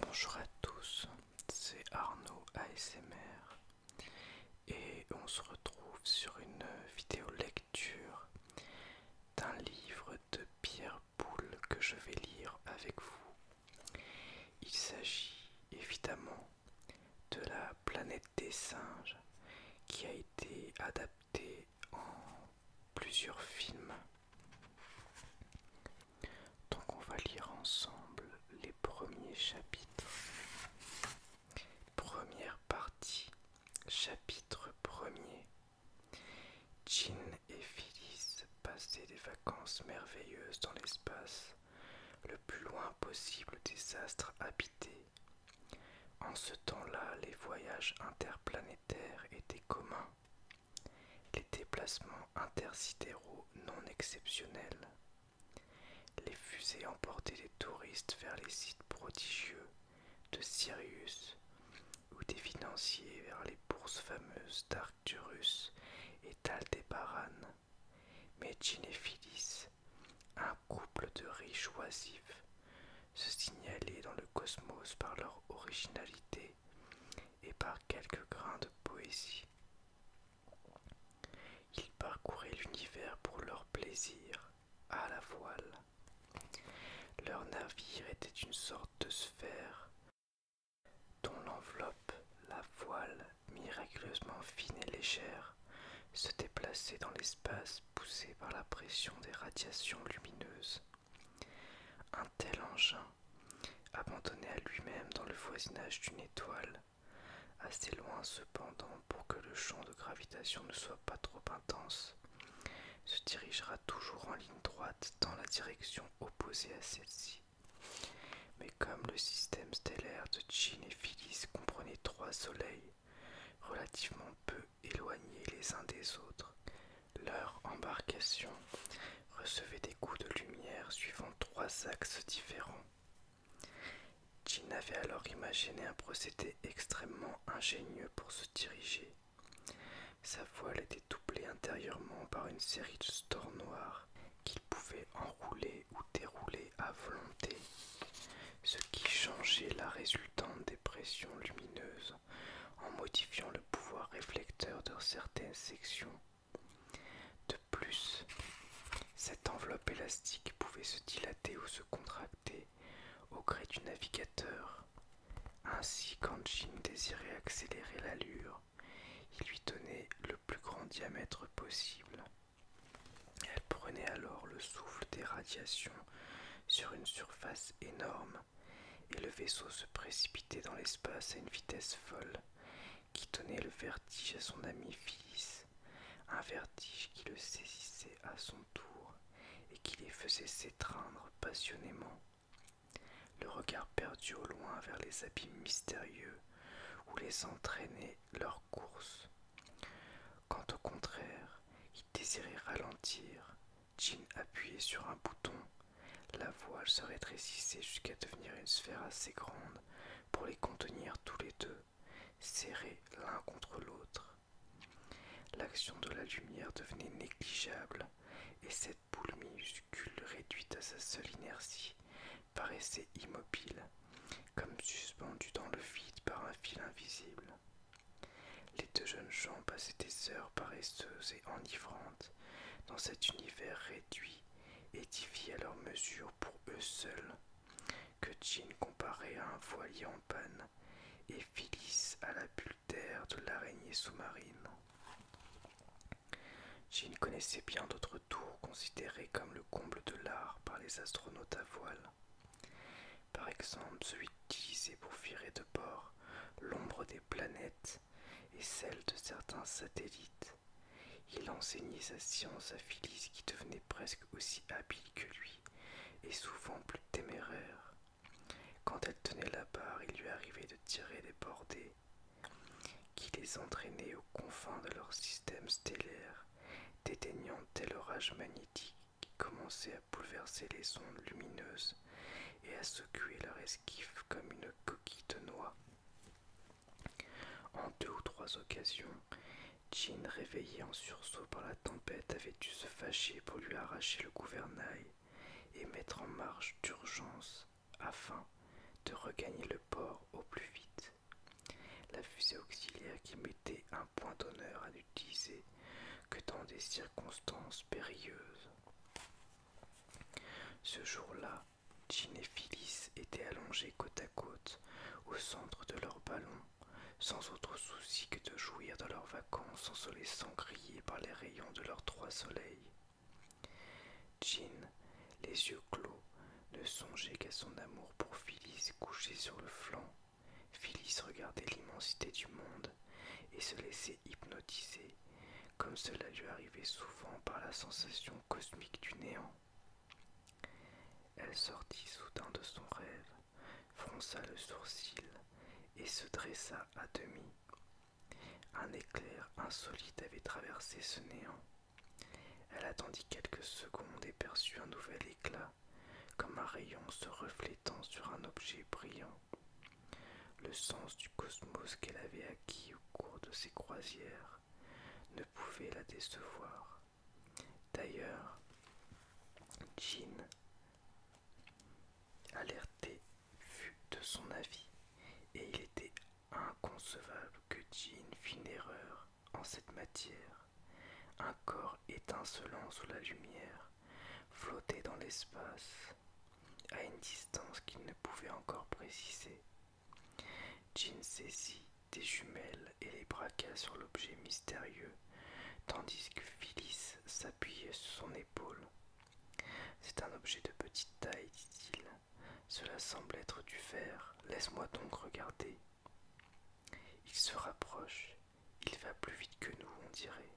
Bonjour à tous, c'est Arnaud ASMR et on se retrouve sur une vidéo lecture d'un livre de Pierre Boulle que je vais lire avec vous. Il s'agit évidemment de la planète des singes qui a été adaptée en plusieurs films. Donc on va lire ensemble les premiers chapitres. Première partie, chapitre premier. Jean et Phyllis passaient des vacances merveilleuses dans l'espace le plus loin possible des astres habités. En ce temps-là, les voyages interplanétaires étaient communs, les déplacements intersidéraux non exceptionnels. Les fusées emportaient des touristes vers les sites prodigieux de Sirius ou des financiers vers les bourses fameuses d'Arcturus et d'Aldebaran. Mais Jean un couple de riches oisifs, se signalaient dans le cosmos par leur originalité et par quelques grains de poésie. Ils parcouraient l'univers pour leur plaisir, à la voile. Leur navire était une sorte de sphère dont l'enveloppe, la voile miraculeusement fine et légère, se déplacer dans l'espace poussé par la pression des radiations lumineuses. Un tel engin, abandonné à lui-même dans le voisinage d'une étoile, assez loin cependant pour que le champ de gravitation ne soit pas trop intense, se dirigera toujours en ligne droite dans la direction opposée à celle-ci. Mais comme le système stellaire de Chin et Phyllis comprenait trois soleils, relativement peu éloignés les uns des autres, leur embarcation recevait des coups de lumière suivant trois axes différents. Jean avait alors imaginé un procédé extrêmement ingénieux pour se diriger. Sa voile était doublée intérieurement par une série de stores noirs qu'il pouvait enrouler ou dérouler à volonté, ce qui changeait la résultante des pressions lumineuses en modifiant le pouvoir réflecteur de certaines sections. De plus, cette enveloppe élastique pouvait se dilater ou se contracter au gré du navigateur. Ainsi, quand Jim désirait accélérer l'allure, il lui donnait le plus grand diamètre possible. Elle prenait alors le souffle des radiations sur une surface énorme et le vaisseau se précipitait dans l'espace à une vitesse folle qui donnait le vertige à son ami fils, un vertige qui le saisissait à son tour et qui les faisait s'étreindre passionnément. Le regard perdu au loin vers les abîmes mystérieux ou les entraîner leur course. Quand au contraire, ils désiraient ralentir, Jin appuyé sur un bouton, la voile se rétrécissait jusqu'à devenir une sphère assez grande pour les contenir tous les deux, serrés l'un contre l'autre. L'action de la lumière devenait négligeable et cette boule minuscule réduite à sa seule inertie paraissait immobile, comme suspendu dans le vide par un fil invisible. Les deux jeunes gens passaient des heures paresseuses et enivrantes dans cet univers réduit, édifié à leur mesure pour eux seuls, que Jean comparait à un voilier en panne et Phyllis à la bulle d'air de l'araignée sous-marine. Jean connaissait bien d'autres considéré comme le comble de l'art par les astronautes à voile. Par exemple, celui utilisé pour virer de bord l'ombre des planètes et celle de certains satellites. Il enseignait sa science à Phyllis qui devenait presque aussi habile que lui et souvent plus téméraire. Quand elle tenait la barre, il lui arrivait de tirer des bordées qui les entraînaient aux confins de leur système stellaire, déteignant tel orage magnétique qui commençait à bouleverser les ondes lumineuses et à secouer leur esquif comme une coquille de noix. En deux ou trois occasions, Jean, réveillé en sursaut par la tempête, avait dû se fâcher pour lui arracher le gouvernail et mettre en marche d'urgence afin de regagner le port au plus vite. La fusée auxiliaire qui mettait un point d'honneur à n'utiliser que dans des circonstances périlleuses. Ce jour-là, Jean et Phyllis étaient allongés côte à côte au centre de leur ballon, sans autre souci que de jouir de leurs vacances en se laissant griller par les rayons de leurs trois soleils. Jean, les yeux clos, ne songeait qu'à son amour pour Phyllis couchée sur le flanc. Phyllis regardait l'immensité du monde et se laissait hypnotiser, comme cela lui arrivait souvent par la sensation cosmique du néant. Elle sortit soudain de son rêve, fronça le sourcil et se dressa à demi. Un éclair insolite avait traversé ce néant. Elle attendit quelques secondes et perçut un nouvel éclat, comme un rayon se reflétant sur un objet brillant. Le sens du cosmos qu'elle avait acquis au cours de ses croisières ne pouvait la décevoir. D'ailleurs, Jean, alerté, fut de son avis, et il était Inconcevable que Jean fît une erreur en cette matière. Un corps étincelant sous la lumière flottait dans l'espace à une distance qu'il ne pouvait encore préciser. Jean saisit des jumelles et les braqua sur l'objet mystérieux, tandis que Phyllis s'appuyait sur son épaule. C'est un objet de petite taille, dit-il, cela semble être du fer, Laisse-moi donc regarder. Il se rapproche. Il va plus vite que nous, on dirait.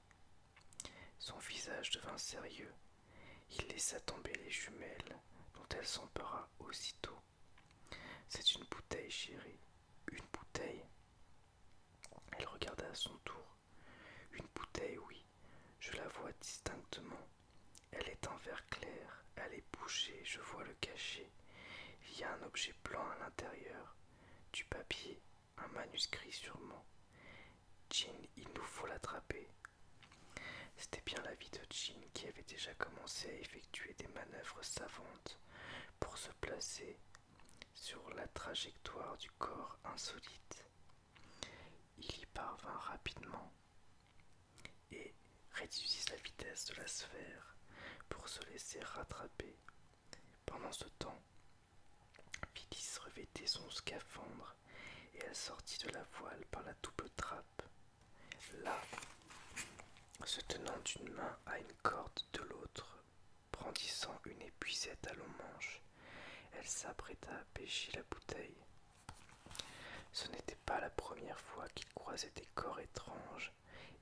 Son visage devint sérieux. Il laissa tomber les jumelles, dont elle s'empara aussitôt. C'est une bouteille, chérie. Une bouteille. Elle regarda à son tour. Une bouteille, oui. Je la vois distinctement. Elle est en vert clair, elle est bougée. je vois le cachet. Il y a un objet blanc à l'intérieur, du papier, un manuscrit sûrement. Jin, il nous faut l'attraper. C'était bien la vie de Jin qui avait déjà commencé à effectuer des manœuvres savantes pour se placer sur la trajectoire du corps insolite. Il y parvint rapidement et réduisit la vitesse de la sphère pour se laisser rattraper. Pendant ce temps, Phyllis revêtait son scaphandre et elle sortit de la voile par la double trappe. Là, se tenant d'une main à une corde de l'autre, brandissant une épuisette à longs manche, elle s'apprêta à pêcher la bouteille. Ce n'était pas la première fois qu'il croisait des corps étranges,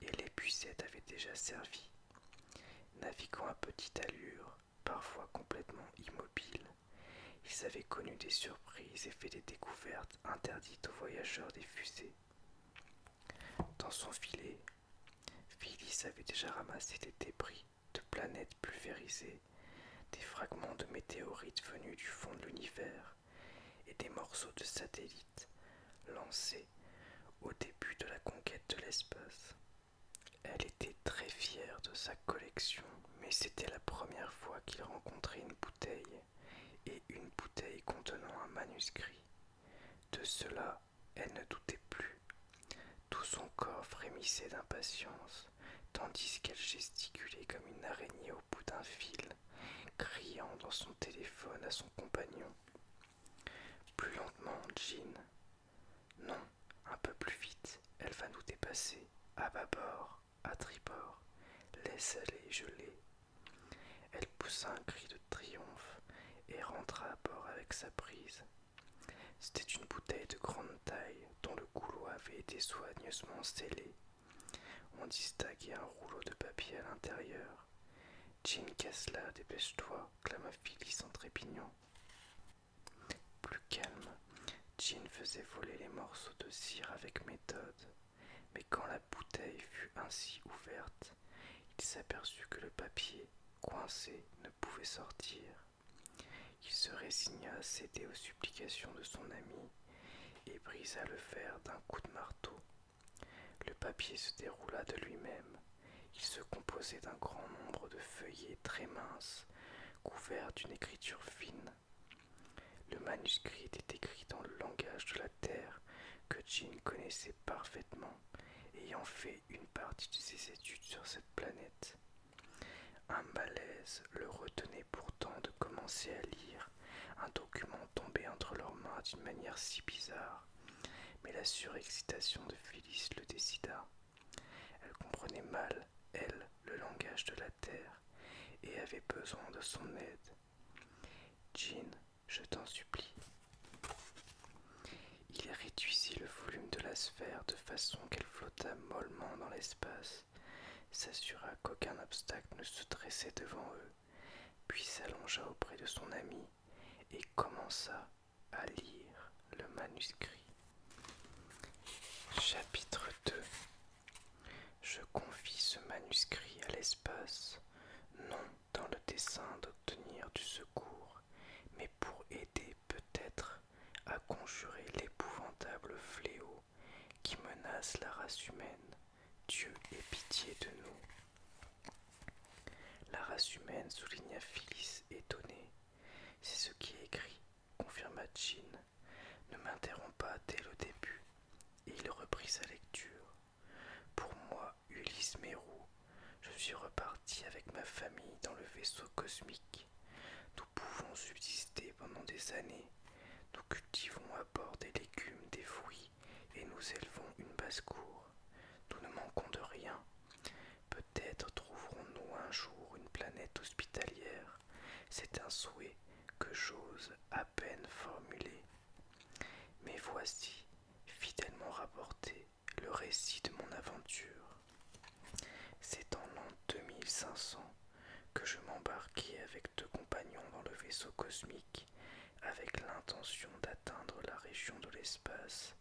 et l'épuisette avait déjà servi. Naviguant à petite allure, parfois complètement immobile, ils avaient connu des surprises et fait des découvertes interdites aux voyageurs des fusées. Dans son filet, Phyllis avait déjà ramassé des débris de planètes pulvérisées des fragments de météorites venus du fond de l'univers et des morceaux de satellites lancés au début de la conquête de l'espace. Elle était très fière de sa collection, mais c'était la première fois qu'il rencontrait une bouteille et une bouteille contenant un manuscrit. De cela, elle ne doutait plus. Tout son corps frémissait d'impatience tandis qu'elle gesticulait comme une araignée au bout d'un fil, criant dans son téléphone à son compagnon. Plus lentement, Jean. Non, un peu plus vite, elle va nous dépasser, à bâbord, à tribord. Laisse aller, je l'ai. Elle poussa un cri de triomphe et rentra à bord avec sa prise. C'était une bouteille de grande taille, dont le goulot avait été soigneusement scellé. On distinguait un rouleau de papier à l'intérieur. Jim Kessler, dépêche-toi, clama Phyllis en trépignant. Plus calme, Jean faisait voler les morceaux de cire avec méthode, mais quand la bouteille fut ainsi ouverte, il s'aperçut que le papier, coincé, ne pouvait sortir. Il se résigna à céder aux supplications de son ami et brisa le fer d'un coup de marteau. Le papier se déroula de lui-même. Il se composait d'un grand nombre de feuillets très minces, couverts d'une écriture fine. Le manuscrit était écrit dans le langage de la terre que Jin connaissait parfaitement, ayant fait une partie de ses études sur cette planète. Un malaise le retenait pourtant de commencer à lire un document tombé entre leurs mains d'une manière si bizarre, mais la surexcitation de Phyllis le décida. Elle comprenait mal, elle, le langage de la terre, et avait besoin de son aide. Jean, je t'en supplie. Il réduisit le volume de la sphère de façon qu'elle flotta mollement dans l'espace s'assura qu'aucun obstacle ne se dressait devant eux, puis s'allongea auprès de son ami et commença à lire le manuscrit. Chapitre 2 Je confie ce manuscrit à l'espace, non dans le dessein d'obtenir du secours, mais pour aider peut-être à conjurer l'épouvantable fléau qui menace la race humaine. Dieu ait pitié de nous. La race humaine, souligna Phyllis étonnée. C'est ce qui est écrit, confirma Jean. Ne m'interromps pas dès le début. Et il reprit sa lecture. Pour moi, Ulysse Mérou, je suis reparti avec ma famille dans le vaisseau cosmique. Nous pouvons subsister pendant des années. Nous cultivons à bord des légumes, des fruits et nous élevons une basse-cour. Nous ne manquons de rien. Peut-être trouverons-nous un jour une planète hospitalière. C'est un souhait que j'ose à peine formuler. Mais voici, fidèlement rapporté, le récit de mon aventure. C'est en l'an 2500 que je m'embarquai avec deux compagnons dans le vaisseau cosmique avec l'intention d'atteindre la région de l'espace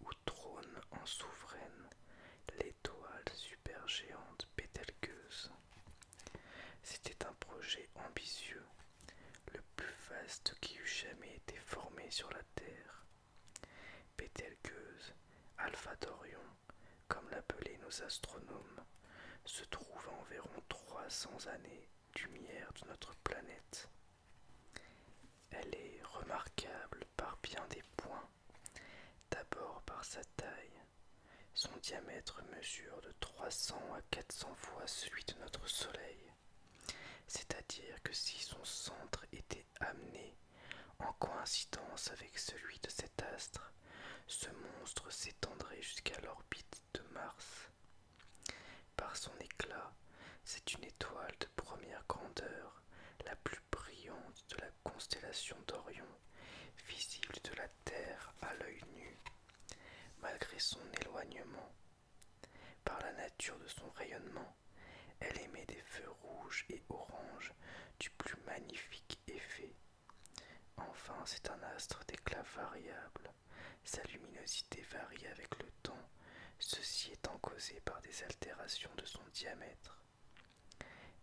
où trône en souveraine l'étoile supergéante Pételgeuse. C'était un projet ambitieux, le plus vaste qui eût jamais été formé sur la Terre. Pételgueuse, Alpha Dorion, comme l'appelaient nos astronomes, se trouve à environ 300 années lumière de notre planète. Elle est remarquable par bien des points, d'abord par sa taille. Son diamètre mesure de 300 à 400 fois celui de notre Soleil, c'est-à-dire que si son centre était amené en coïncidence avec celui de cet astre, ce monstre s'étendrait jusqu'à l'orbite de Mars. Par son éclat, c'est une étoile de première grandeur, la plus brillante de la constellation d'Orion, visible de la Terre à l'œil nu, malgré son éloignement. Par la nature de son rayonnement, elle émet des feux rouge et orange du plus magnifique effet. Enfin, c'est un astre d'éclat variable. Sa luminosité varie avec le temps, ceci étant causé par des altérations de son diamètre.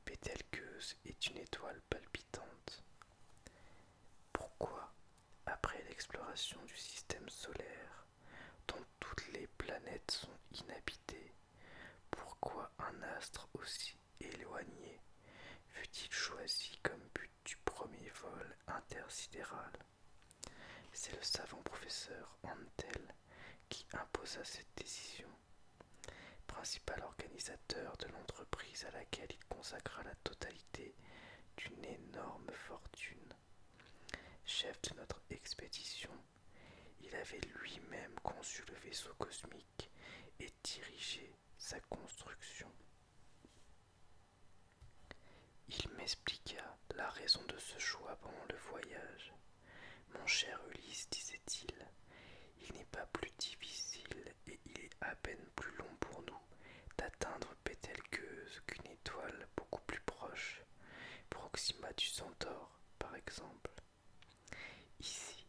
Pételqueuse est une étoile palpitante. Pourquoi, après l'exploration du système solaire, dont toutes les planètes sont inhabitées, pourquoi un astre aussi éloigné fut-il choisi comme but du premier vol intersidéral C'est le savant professeur Antel qui imposa cette décision. Principal organisateur de l'entreprise à laquelle il consacra la totalité d'une énorme fortune. Chef de notre expédition il avait lui-même conçu le vaisseau cosmique et dirigé sa construction. Il m'expliqua la raison de ce choix pendant le voyage. Mon cher Ulysse, disait-il, il, n'est pas plus difficile et il est à peine plus long pour nous d'atteindre Pételgeuse qu'une étoile beaucoup plus proche, Proxima du Centaure par exemple. Ici,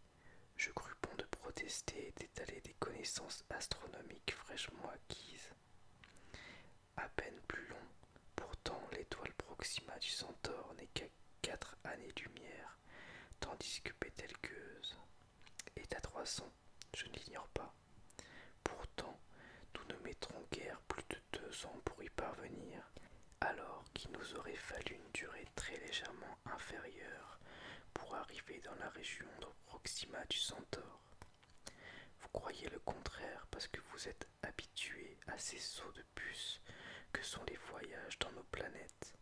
je crus bon de protester et d'étaler des connaissances astronomiques fraîchement acquises. À peine plus long, pourtant l'étoile Proxima du Centaure n'est qu'à quatre années-lumière, tandis que Bételgeuse est à trois 300, je n'ignore pas. Pourtant, nous ne mettrons guère plus de deux ans pour y parvenir alors qu'il nous aurait fallu une durée très légèrement inférieure pour arriver dans la région de Proxima du Centaure. Vous croyez le contraire parce que vous êtes habitué à ces sauts de bus que sont les voyages dans nos planètes,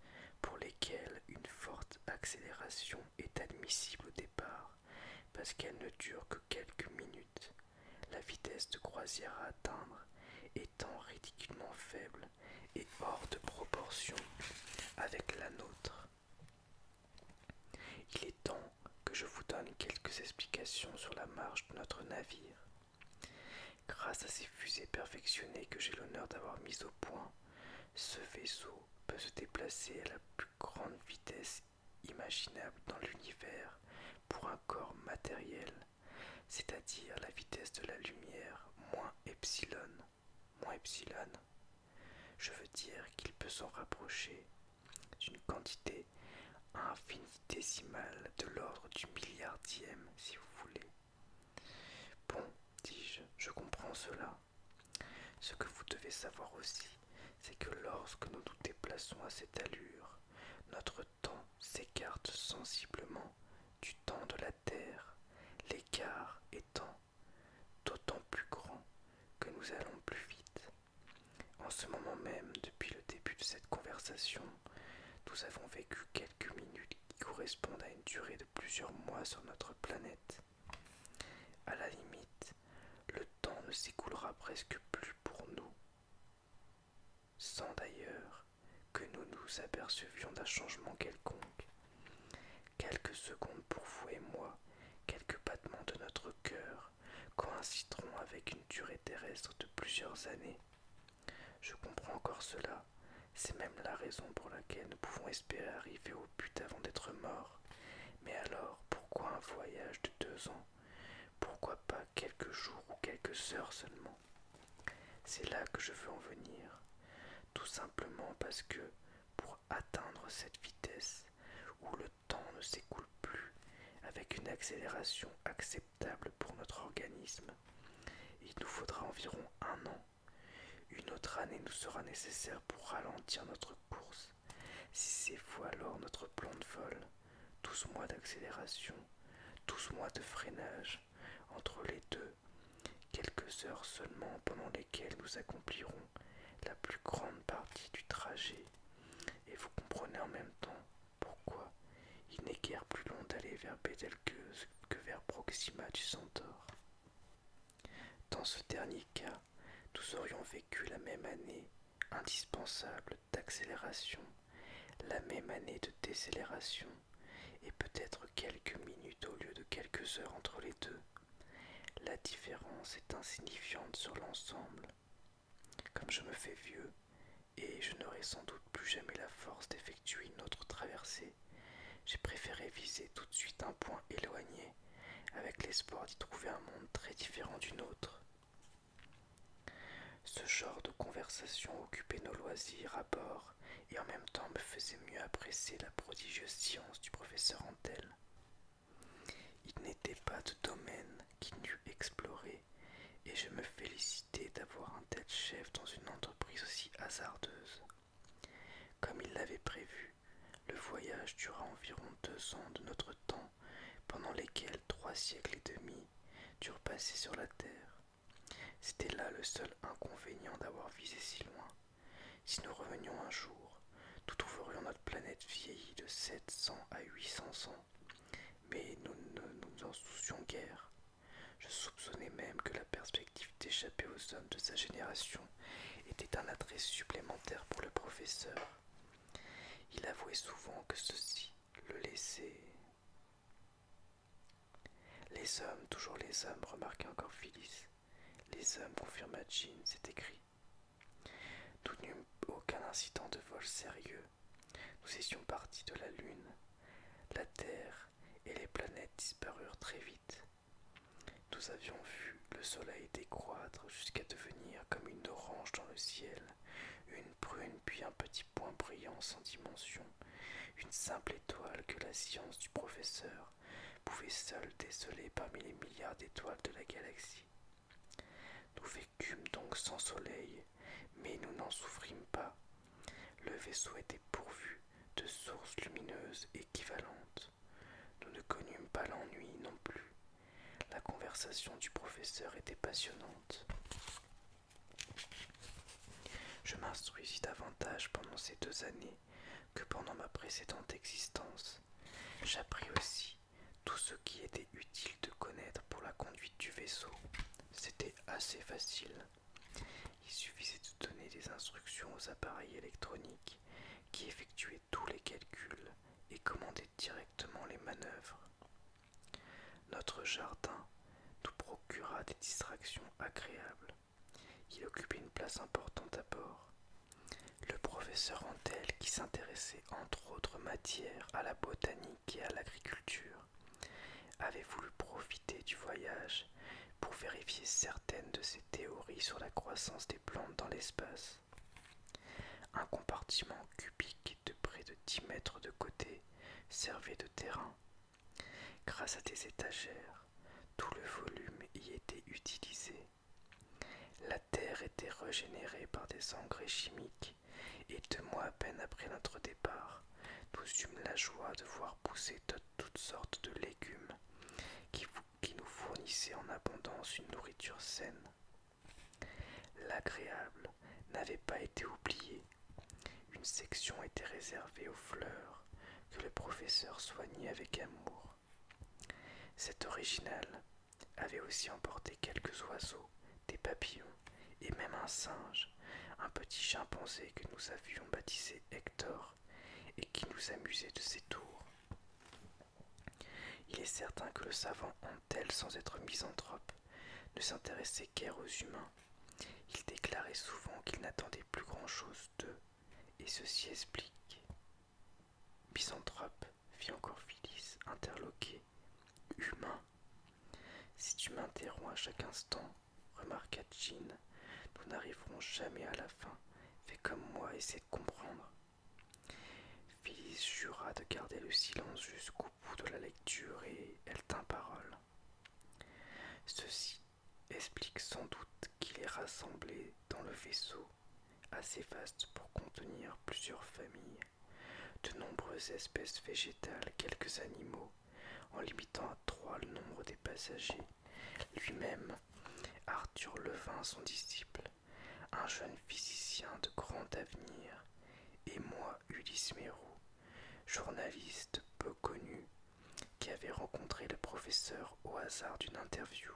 pour lesquels une forte accélération est admissible au départ, parce qu'elle ne dure que quelques minutes la vitesse de croisière à atteindre étant ridiculement faible et hors de proportion avec la nôtre. Il est temps que je vous donne quelques explications sur la marche de notre navire. Grâce à ces fusées perfectionnées que j'ai l'honneur d'avoir mises au point, ce vaisseau peut se déplacer à la plus grande vitesse imaginable dans l'univers pour un corps matériel c'est-à-dire la vitesse de la lumière moins epsilon, moins epsilon, je veux dire qu'il peut s'en rapprocher d'une quantité infinitésimale de l'ordre du milliardième, si vous voulez. Bon, dis-je, je comprends cela. Ce que vous devez savoir aussi, c'est que lorsque nous nous déplaçons à cette allure, notre temps s'écarte sensiblement du temps de la Terre, l'écart étant d'autant plus grand que nous allons plus vite. En ce moment même, depuis le début de cette conversation, nous avons vécu quelques minutes qui correspondent à une durée de plusieurs mois sur notre planète. À la limite, le temps ne s'écoulera presque plus pour nous sans d'ailleurs que nous nous apercevions d'un changement quelconque. Quelques secondes pour vous et moi, quelques battements de notre cœur coïncideront avec une durée terrestre de plusieurs années. Je comprends encore cela, c'est même la raison pour laquelle nous pouvons espérer arriver au but avant d'être morts. Mais alors, pourquoi un voyage de deux ans Pourquoi pas quelques jours ou quelques heures seulement c'est là que je veux en venir, tout simplement parce que pour atteindre cette vitesse où le temps ne s'écoule plus avec une accélération acceptable pour notre organisme, il nous faudra environ un an. Une autre année nous sera nécessaire pour ralentir notre course, si c'est faux, alors notre plan de vol. 12 mois d'accélération, douze mois de freinage entre les deux, quelques heures seulement pendant lesquelles nous accomplirons la plus grande partie du trajet. Et vous comprenez en même temps pourquoi il n'est guère plus long d'aller vers Betelgeuse que vers Proxima du Centaure. Dans ce dernier cas, nous aurions vécu la même année indispensable d'accélération, la même année de décélération, et peut-être quelques minutes au lieu de quelques heures entre les deux. La différence est insignifiante sur l'ensemble. Comme je me fais vieux, et je n'aurai sans doute plus jamais la force d'effectuer une autre traversée, j'ai préféré viser tout de suite un point éloigné, avec l'espoir d'y trouver un monde très différent du nôtre. Ce genre de conversation occupait nos loisirs à bord et en même temps me faisait mieux apprécier la prodigieuse science du professeur Antel. Il n'était pas de domaine qu'il n'eût exploré et je me félicitais d'avoir un tel chef dans une entreprise aussi hasardeuse. Comme il l'avait prévu, le voyage dura environ deux ans de notre temps pendant lesquels trois siècles et demi durent passer sur la Terre. C'était là le seul inconvénient d'avoir visé si loin. Si nous revenions un jour, nous trouverions notre planète vieillie de 700 à 800 ans. Mais nous ne nous, en soucions guère. Je soupçonnais même que la perspective d'échapper aux hommes de sa génération était un attrait supplémentaire pour le professeur. Il avouait souvent que ceci le laissait les hommes, toujours les hommes, remarqua encore Phyllis. Les hommes, confirma Jean, c'est écrit. Nous n'eûmes aucun incident de vol sérieux. Nous étions partis de la Lune. La Terre et les planètes disparurent très vite. Nous avions vu le soleil décroître jusqu'à devenir comme une orange dans le ciel, une une prune, puis un petit point brillant sans dimension, une simple étoile que la science du professeur pouvait seule déceler parmi les milliards d'étoiles de la galaxie. Nous vécûmes donc sans soleil, mais nous n'en souffrîmes pas. Le vaisseau était pourvu de sources lumineuses équivalentes. Nous ne connûmes pas l'ennui non plus. La conversation du professeur était passionnante. Je m'instruisis davantage pendant ces deux années que pendant ma précédente existence. J'appris aussi tout ce qui était utile de connaître pour la conduite du vaisseau. C'était assez facile. Il suffisait de donner des instructions aux appareils électroniques qui effectuaient tous les calculs et commandaient directement les manœuvres. Notre jardin nous procura des distractions agréables. Il occupait une place importante à bord. Le professeur Antel, qui s'intéressait entre autres matières à la botanique et à l'agriculture, avait voulu profiter du voyage pour vérifier certaines de ses théories sur la croissance des plantes dans l'espace. Un compartiment cubique de près de dix mètres de côté servait de terrain. Grâce à des étagères, tout le volume y était utilisé. La terre était régénérée par des engrais chimiques et deux mois à peine après notre départ, nous eûmes la joie de voir pousser toutes sortes de légumes qui nous fournissaient en abondance une nourriture saine. L'agréable n'avait pas été oublié. Une section était réservée aux fleurs que le professeur soignait avec amour. Cet original avait aussi emporté quelques oiseaux, des papillons et même un singe, un petit chimpanzé que nous avions baptisé Hector et qui nous amusait de ses tours. Il est certain que le savant honte-t-elle sans être misanthrope, ne s'intéressait guère aux humains. Il déclarait souvent qu'il n'attendait plus grand-chose d'eux, et ceci explique. Misanthrope fit encore Phyllis, interloqué. Humain Si tu m'interromps à chaque instant, remarqua Jean, nous n'arriverons jamais à la fin. Fais comme moi, essaie de comprendre. Phyllis jura de garder le silence jusqu'au bout de la lecture et elle tint parole. Ceci explique sans doute qu'il est rassemblé dans le vaisseau assez vaste pour contenir plusieurs familles, de nombreuses espèces végétales, quelques animaux, en limitant à trois le nombre des passagers. Lui-même, Arthur Levin, son disciple, un jeune physicien de grand avenir, et moi Ulysse Mérou, journaliste peu connu, qui avait rencontré le professeur au hasard d'une interview.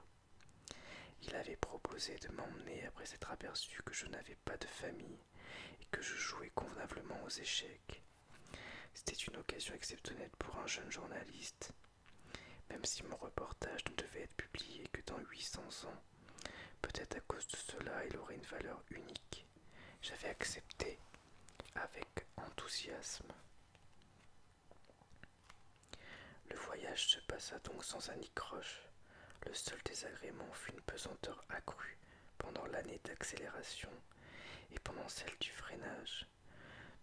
Il avait proposé de m'emmener après s'être aperçu que je n'avais pas de famille et que je jouais convenablement aux échecs. C'était une occasion exceptionnelle pour un jeune journaliste. Même si mon reportage ne devait être publié que dans 800 ans, Peut-être à cause de cela, il aurait une valeur unique. J'avais accepté avec enthousiasme. Le voyage se passa donc sans un Le seul désagrément fut une pesanteur accrue pendant l'année d'accélération et pendant celle du freinage.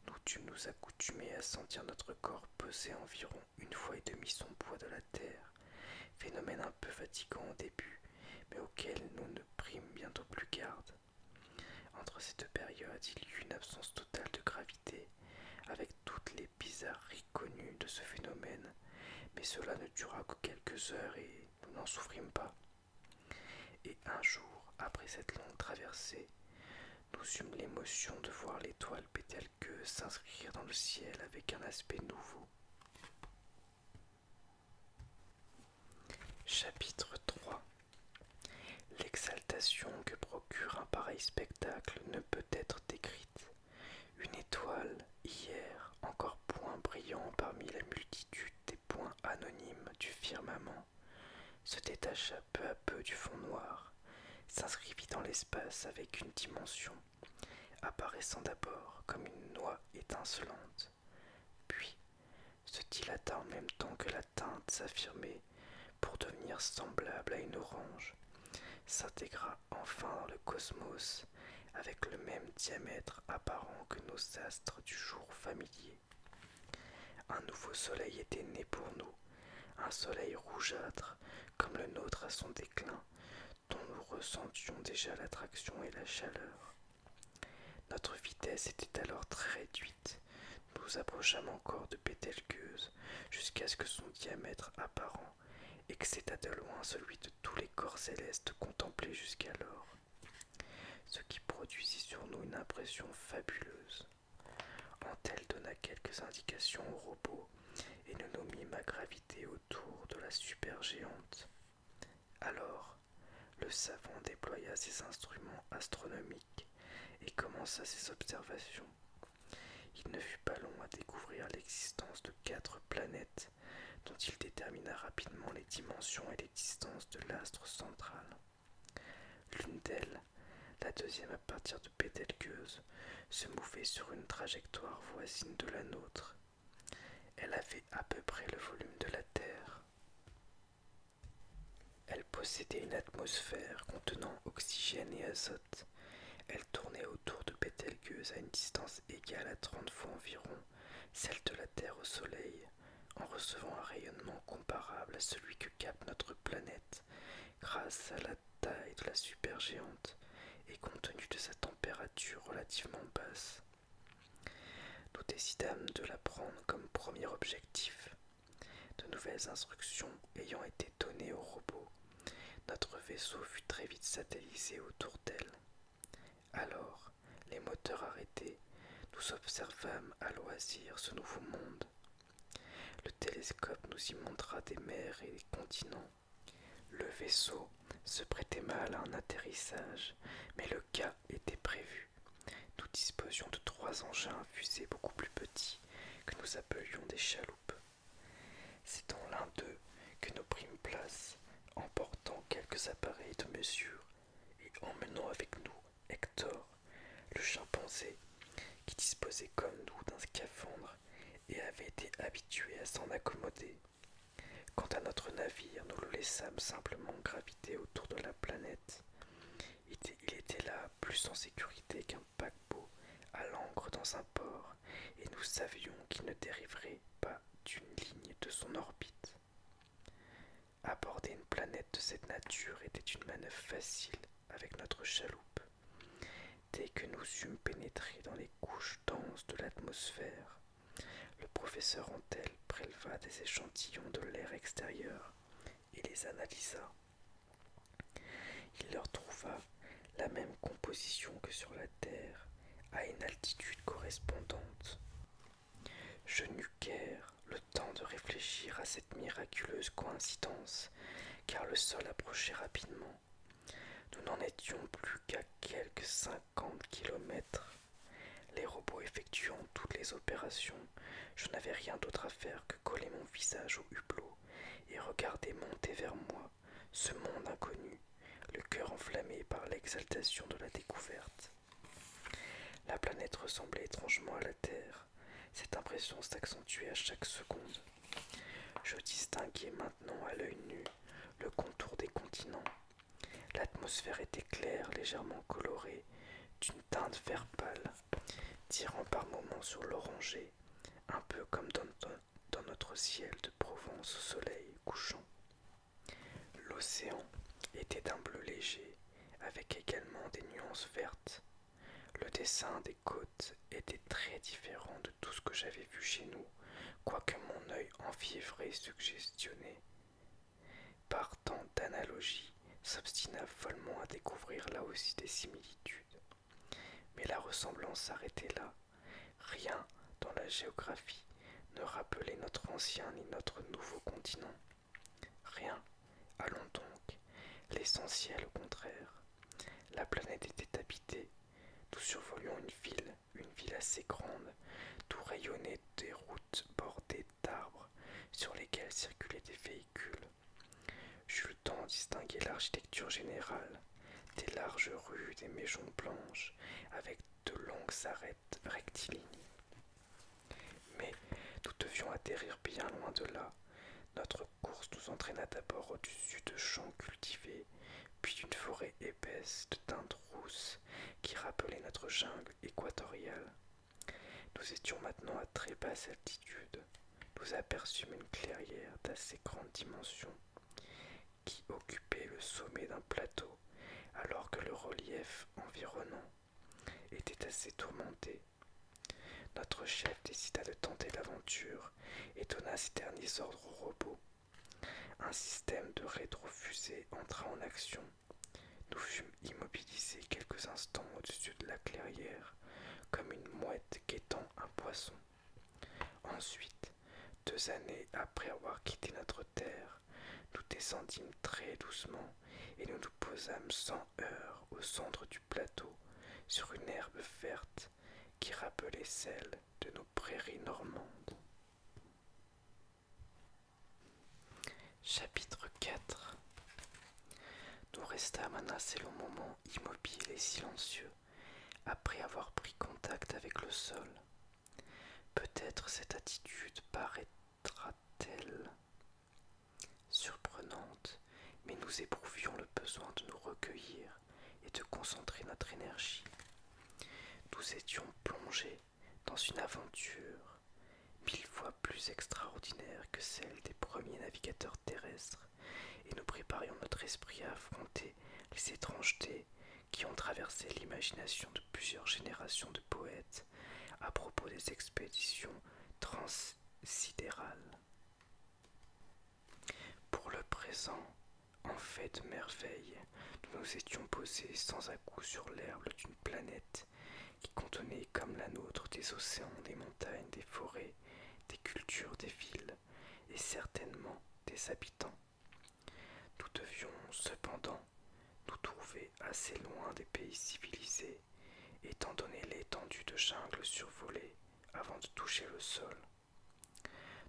Nous tu nous accoutumés à sentir notre corps peser environ une fois et demie son poids de la terre phénomène un peu fatigant au début, mais auquel nous ne prîmes bientôt plus garde. Entre ces deux périodes, il y eut une absence totale de gravité, avec toutes les bizarreries connues de ce phénomène, mais cela ne dura que quelques heures et nous n'en souffrîmes pas. Et un jour, après cette longue traversée, nous eûmes l'émotion de voir l'étoile que s'inscrire dans le ciel avec un aspect nouveau, Chapitre 3 L'exaltation que procure un pareil spectacle ne peut être décrite. Une étoile, hier, encore point brillant parmi la multitude des points anonymes du firmament, se détacha peu à peu du fond noir, s'inscrivit dans l'espace avec une dimension apparaissant d'abord comme une noix étincelante, puis se dilata en même temps que la teinte s'affirmait pour devenir semblable à une orange, s'intégra enfin dans le cosmos avec le même diamètre apparent que nos astres du jour familier. Un nouveau soleil était né pour nous, un soleil rougeâtre comme le nôtre à son déclin, dont nous ressentions déjà l'attraction et la chaleur. Notre vitesse était alors très réduite. Nous approchâmes encore de Pételgueuse, jusqu'à ce que son diamètre apparent excédât de loin celui de tous les corps célestes contemplés jusqu'alors, ce qui produisit sur nous une impression fabuleuse. Antel donna quelques indications au robot et nous nous ma gravité autour de la supergéante. Alors, le savant déploya ses instruments astronomiques et commença ses observations. Il ne fut pas long à découvrir l'existence de quatre planètes dont il détermina rapidement les dimensions et les distances de l'astre central. L'une d'elles, la deuxième à partir de Pételgueuse se mouvait sur une trajectoire voisine de la nôtre. Elle avait à peu près le volume de la Terre. Elle possédait une atmosphère contenant oxygène et azote. Elle tournait autour de Pételgueuse à une distance égale à 30 fois environ celle de la Terre au Soleil, en recevant un rayonnement comparable à celui que capte notre planète grâce à la taille de la supergéante et compte tenu de sa température relativement basse. Nous décidâmes de la prendre comme premier objectif. De nouvelles instructions ayant été données au robot, notre vaisseau fut très vite satellisé autour d'elle. Alors, les moteurs arrêtés, nous observâmes à loisir ce nouveau monde. Le télescope nous y montra des mers et des continents, le vaisseau se prêtait mal à un atterrissage, mais le cas était prévu. Nous disposions de trois engins à fusées beaucoup plus petits que nous appelions des chaloupes. C'est dans l'un d'eux que nous prîmes place, portant quelques appareils de mesure et emmenant avec nous Hector, le chimpanzé, qui disposait comme nous d'un scaphandre et avait été habitué à s'en accommoder. Quant à notre navire, nous le laissâmes simplement graviter autour de la planète. Il était, là plus en sécurité qu'un paquebot à l'ancre dans un port, et nous savions qu'il ne dériverait pas d'une ligne de son orbite. Aborder une planète de cette nature était une manœuvre facile avec notre chaloupe, Dès que nous eûmes pénétré dans les couches denses de l'atmosphère, le professeur Antel préleva des échantillons de l'air extérieur et les analysa. Il leur trouva la même composition que sur la Terre, à une altitude correspondante. Je n'eus guère le temps de réfléchir à cette miraculeuse coïncidence, car le sol approchait rapidement nous n'en étions plus qu'à quelques 50 kilomètres. Les robots effectuant toutes les opérations, je n'avais rien d'autre à faire que coller mon visage au hublot et regarder monter vers moi ce monde inconnu, le cœur enflammé par l'exaltation de la découverte. La planète ressemblait étrangement à la Terre. Cette impression s'accentuait à chaque seconde. Je distinguais maintenant à l'œil nu le contour des continents. L'atmosphère était claire, légèrement colorée, d'une teinte vert pâle, tirant par moments sur l'oranger, un peu comme dans, dans notre ciel de Provence au soleil couchant. L'océan était d'un bleu léger, avec également des nuances vertes. Le dessin des côtes était très différent de tout ce que j'avais vu chez nous, quoique mon œil enfiévré suggestionné par tant d'analogies s'obstina follement à découvrir là aussi des similitudes. Mais la ressemblance s'arrêtait là. Rien dans la géographie ne rappelait notre ancien ni notre nouveau continent. Rien. Allons donc. L'essentiel au contraire. La planète était habitée nous survolions une ville, une ville assez grande, tout rayonnait des routes bordées d'arbres sur lesquelles circulaient des véhicules. J'eus le temps de distinguer l'architecture générale, des larges rues, des maisons blanches, avec de longues arêtes rectilignes. Mais nous devions atterrir bien loin de là, notre course nous entraîna d'abord au-dessus de champs cultivés, puis d'une forêt épaisse de teintes rousses qui rappelait notre jungle équatoriale. Nous étions maintenant à très basse altitude. Nous aperçûmes une clairière d'assez grande dimension qui occupait le sommet d'un plateau, alors que le relief environnant était assez tourmenté. Notre chef décida de tenter l'aventure Étonna donna ses derniers ordres au robot. Un système de rétrofusée entra en action. Nous fûmes immobilisés quelques instants au-dessus de la clairière, comme une mouette guettant un poisson. Ensuite, deux années après avoir quitté notre terre, nous descendîmes très doucement et nous nous posâmes sans heurts au centre du plateau sur une herbe verte qui rappelait celle de nos prairies normandes. Chapitre 4 Nous restâmes un assez long moment immobile et silencieux après avoir pris contact avec le sol. Peut-être cette attitude paraîtra-t-elle surprenante, mais nous éprouvions le besoin de nous recueillir et de concentrer notre énergie. Nous étions plongés dans une aventure mille fois plus extraordinaire que celle des premiers navigateurs terrestres et nous préparions notre esprit à affronter les étrangetés qui ont traversé l'imagination de plusieurs générations de poètes à propos des expéditions transsidérales. Pour le présent, en fait merveille, nous nous étions posés sans à coup sur l'herbe d'une planète qui contenait comme la nôtre des océans, des montagnes, des forêts, des cultures, des villes et certainement des habitants. Nous devions cependant nous trouver assez loin des pays civilisés, étant donné l'étendue de jungle survolée avant de toucher le sol.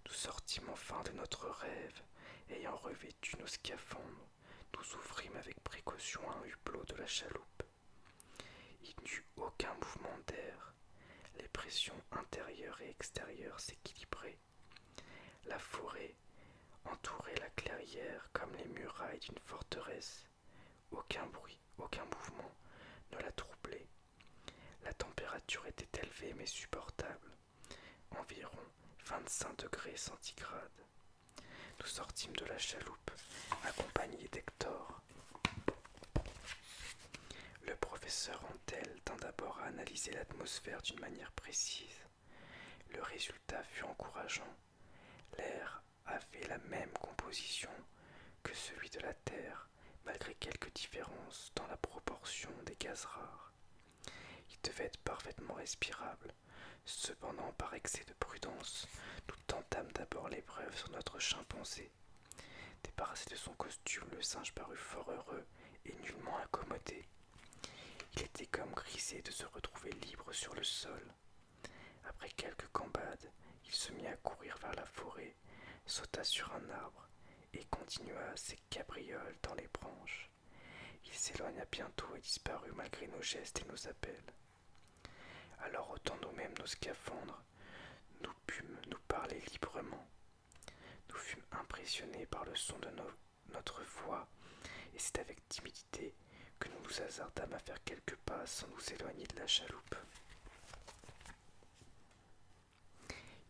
Nous sortîmes enfin de notre rêve, ayant revêtu nos scaphandres, nous ouvrîmes avec précaution un hublot de la chaloupe. Il n'y eut aucun mouvement d'air, les pressions intérieures et extérieures s'équilibraient. La forêt entourait la clairière comme les murailles d'une forteresse. Aucun bruit, aucun mouvement ne la troublait. La température était élevée mais supportable, environ 25 degrés centigrades. Nous sortîmes de la chaloupe, accompagnés d'Hector. Le professeur Antel tint d'abord à analyser l'atmosphère d'une manière précise. Le résultat fut encourageant. L'air avait la même composition que celui de la Terre, malgré quelques différences dans la proportion des gaz rares. Il devait être parfaitement respirable. Cependant, par excès de prudence, nous tentâmes d'abord l'épreuve sur notre chimpanzé. Débarrassé de son costume, le singe parut fort heureux et nullement incommodé. Il était comme grisé de se retrouver libre sur le sol. Après quelques cambades, il se mit à courir vers la forêt sauta sur un arbre et continua ses cabrioles dans les branches. Il s'éloigna bientôt et disparut malgré nos gestes et nos appels. Alors autant nous-mêmes nos scaphandres, nous pûmes nous parler librement. Nous fûmes impressionnés par le son de notre voix, et c'est avec timidité que nous nous hasardâmes à faire quelques pas sans nous éloigner de la chaloupe.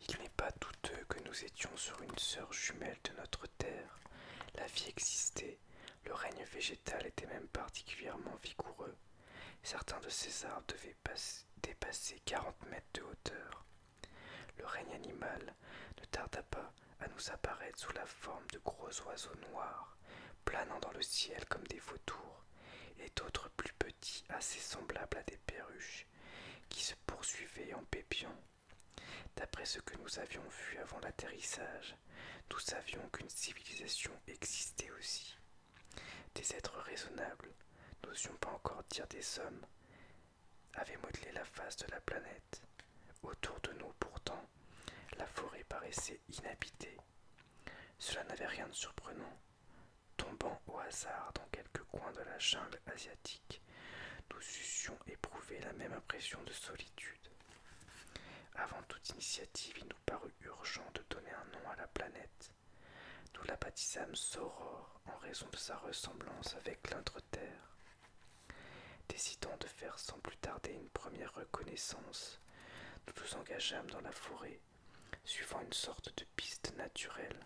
Il n'est pas douteux que nous étions sur une sœur jumelle de notre Terre. La vie existait, le règne végétal était même particulièrement vigoureux. Certains de ces arbres devaient dépasser quarante mètres de hauteur. Le règne animal ne tarda pas à nous apparaître sous la forme de gros oiseaux noirs, planant dans le ciel comme des vautours, et d'autres plus petit, assez semblable à des perruches, qui se poursuivaient en pépions. D'après ce que nous avions vu avant l'atterrissage, nous savions qu'une civilisation existait aussi. Des êtres raisonnables, n'osions pas encore dire des hommes, avaient modelé la face de la planète. Autour de nous pourtant, la forêt paraissait inhabitée. Cela n'avait rien de surprenant. Tombant au hasard dans quelques coins de la jungle asiatique, nous eussions éprouvé la même impression de solitude. Avant toute initiative, il nous parut urgent de donner un nom à la planète. Nous la baptisâmes Soror en raison de sa ressemblance avec lintre Terre. Décidant de faire sans plus tarder une première reconnaissance, nous nous engageâmes dans la forêt suivant une sorte de piste naturelle.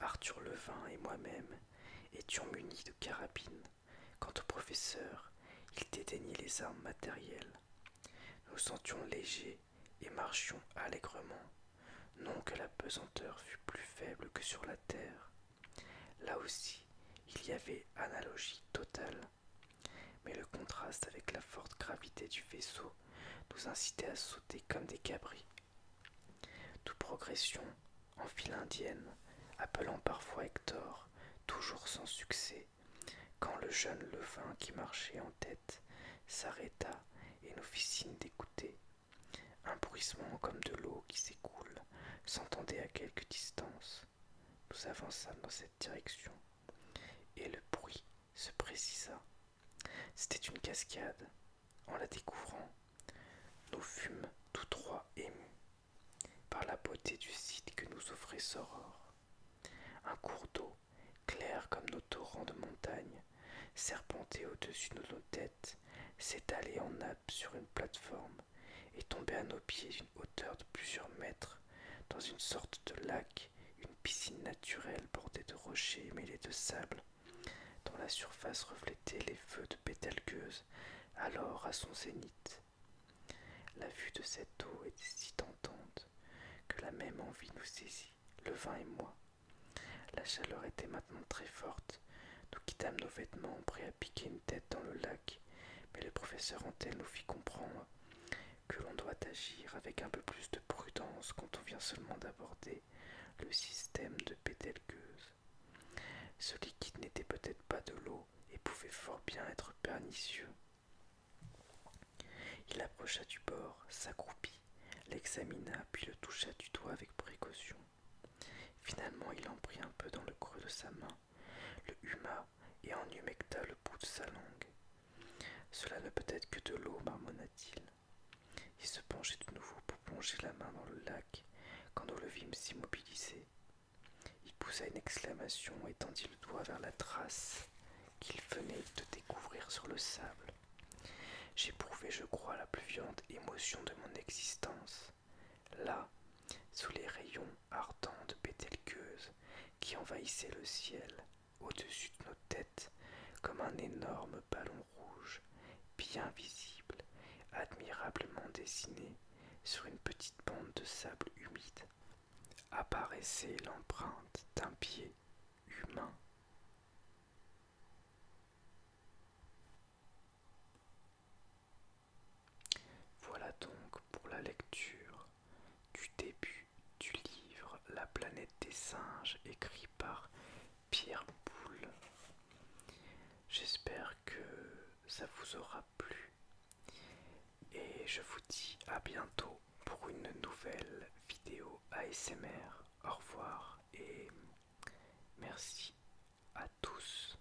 Arthur Levin et moi-même étions munis de carabines. Quant au professeur, il dédaignait les armes matérielles. Nous sentions légers et marchions allègrement. Non que la pesanteur fût plus faible que sur la terre. Là aussi, il y avait analogie totale. Mais le contraste avec la forte gravité du vaisseau nous incitait à sauter comme des cabris. Nous progression en file indienne, appelant parfois Hector, toujours sans succès, quand le jeune levain qui marchait en tête s'arrêta et nous fit signe d'écouter. Un bruissement comme de l'eau qui s'écoule s'entendait à quelque distance. Nous avançâmes dans cette direction. Et le bruit se précisa. C'était une cascade. En la découvrant, nous fûmes tous trois émus par la beauté du site que nous offrait saurore Un cours d'eau, clair comme nos torrents de montagne, serpentait au-dessus de nos têtes, s'étalait en nappe sur une plateforme et tombait à nos pieds hauteur de plusieurs mètres, dans une sorte de lac, une piscine naturelle bordée de rochers mêlés de sable, dont la surface reflétait les feux de Pétalgueuse, alors à son zénith. La vue de cette eau était si tentante que la même envie nous saisit, le vin et moi. La chaleur était maintenant très forte. Nous quittâmes nos vêtements, prêts à piquer une tête dans le lac, mais le professeur Antel nous fit comprendre que l'on doit agir avec un peu plus de prudence quand on vient seulement d'aborder le système de Pételgueuse. Ce liquide n'était peut-être pas de l'eau et pouvait fort bien être pernicieux. Il approcha du bord, s'accroupit, l'examina, puis le toucha du doigt avec précaution. Finalement, il en prit un peu dans le creux de sa main le huma et en humecta le bout de sa langue. Cela ne peut être que de l'eau, marmonna-t-il. Il se penchait de nouveau pour plonger la main dans le lac quand nous le vîmes s'immobiliser. Il poussa une exclamation et tendit le doigt vers la trace qu'il venait de découvrir sur le sable. J'éprouvais, je crois, la plus violente émotion de mon existence. Là, sous les rayons ardente pételqueuse qui envahissait le ciel au-dessus de nos têtes comme un énorme ballon rouge, bien visible, admirablement dessiné sur une petite bande de sable humide. Apparaissait l'empreinte d'un pied humain. Voilà donc pour la lecture du début du livre La planète des singes écrit par Pierre Boulle. J'espère que ça vous aura plu et je vous dis à bientôt pour une nouvelle vidéo ASMR. Au revoir et merci à tous.